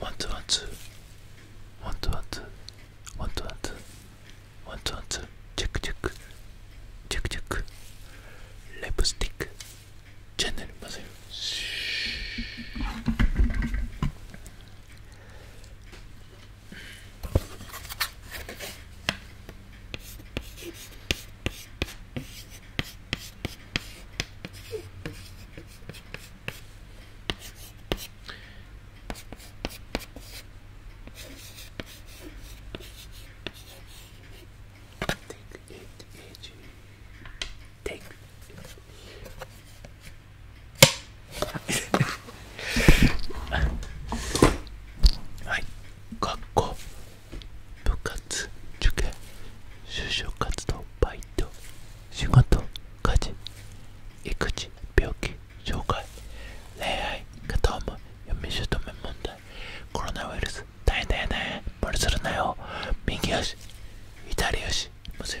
ワンツワンツワンツワンツワンツワンツワンツワンツチェックチェックチェックチェックレプスティックチャンネルません Take it easy. Take. はい、学校部活活受験就職活動バイト仕事家事育児病気障害恋愛片思い嫁姑問題コロナウイルス大変だよね無理するなよ右足左足むずい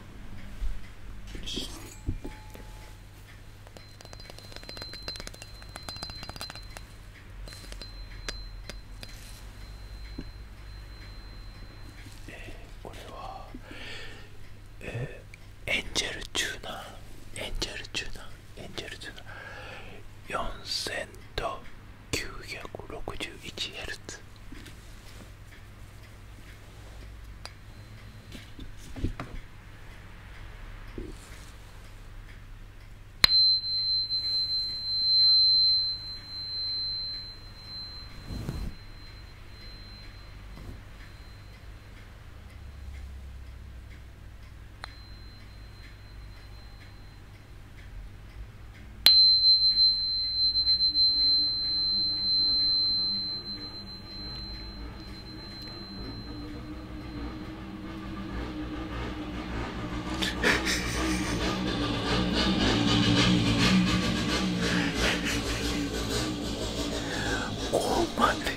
えー、これは、えー、エンジェルチューナーエンジェルチューナーエンジェルチューナー4000と 961Hz 9ここまで。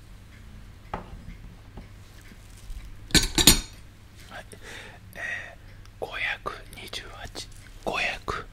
はいえー、528 528Hz528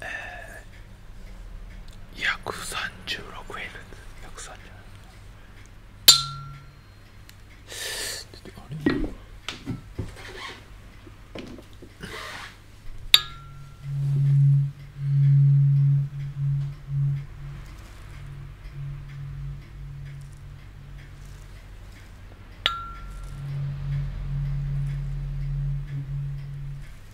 えー、136円130円あれ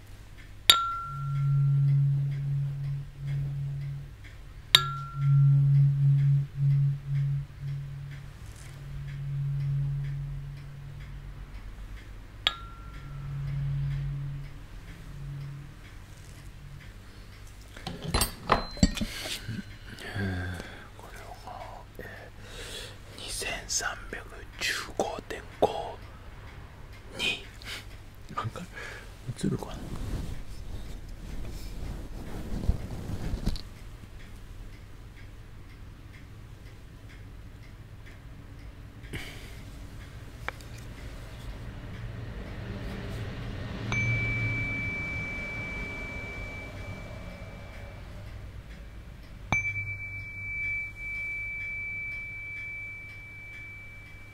2315.5なんか映るかな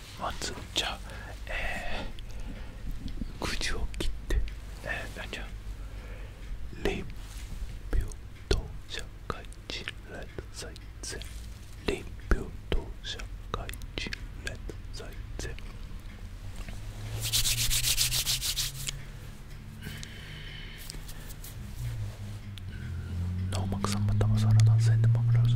まずじゃあえー、くじを切ってえー、なんじゃ零秒到社会人レッド再生零秒到社会人レッド再生ノーマックさんまたまさら男性で守られる。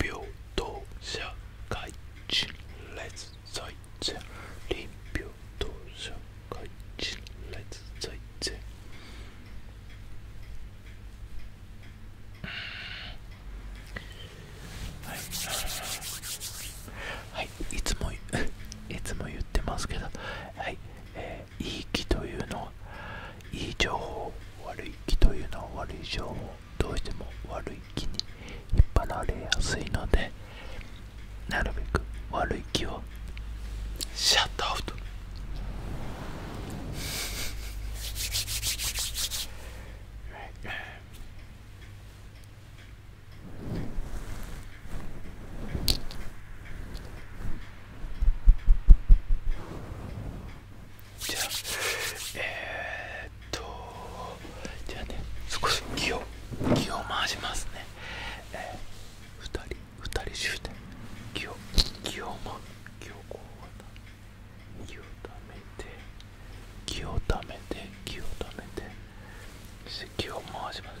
流動社会人列在前臨平等社会人列在前はい、はい、いつも いつも言ってますけどはい、えいい気というのいい情報悪い気というのは悪い情報どうしても悪い気に引っ張られやすいのでなるべく悪い気をシャットアウト じゃあえっとじゃあね少し気を気を回しますねえー、2人2人集団気を気を回気をこう気をためて気をためて気をためて気を回します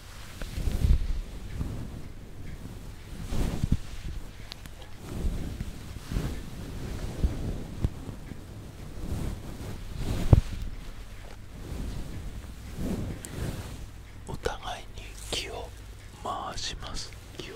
お互いに気を回します気を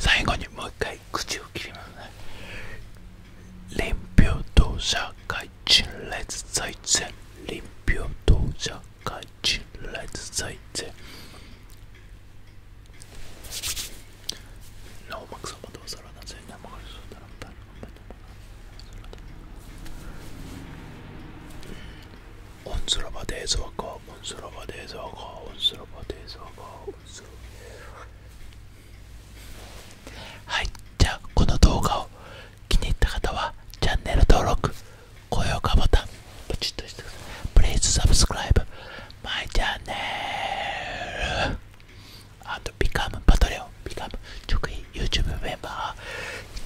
最後にもう一回口を切りますね。臨平等社会陳列財政臨平等社 Congratulations. لا هو مكسب ما توصل أنا زينا ما خلص ولا نبتدي نبتدي. أنصر بعدي زوجها، أنصر بعدي زوجها، أنصر بعدي زوجها، أنصر. はい、じゃあこの動画を気に入った方はチャンネル登録高評価ボタンポチッとしてください Please subscribe my channel and become Patreon become 直近 YouTube メンバー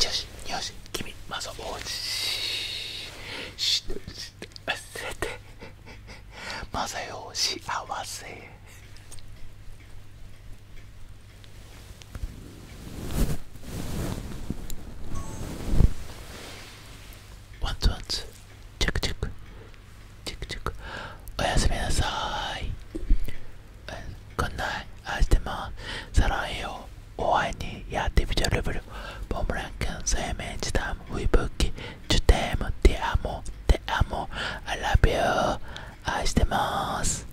女子女子君まずおじしとせてまさよ幸せワンツワンツチェックチェックチェックチェックおやすみなさーいこんない愛してますサランよお会いにやってみちゃるぶるボムランケン生命時短ウィブキジュテームティアモテアモ I love you 愛してます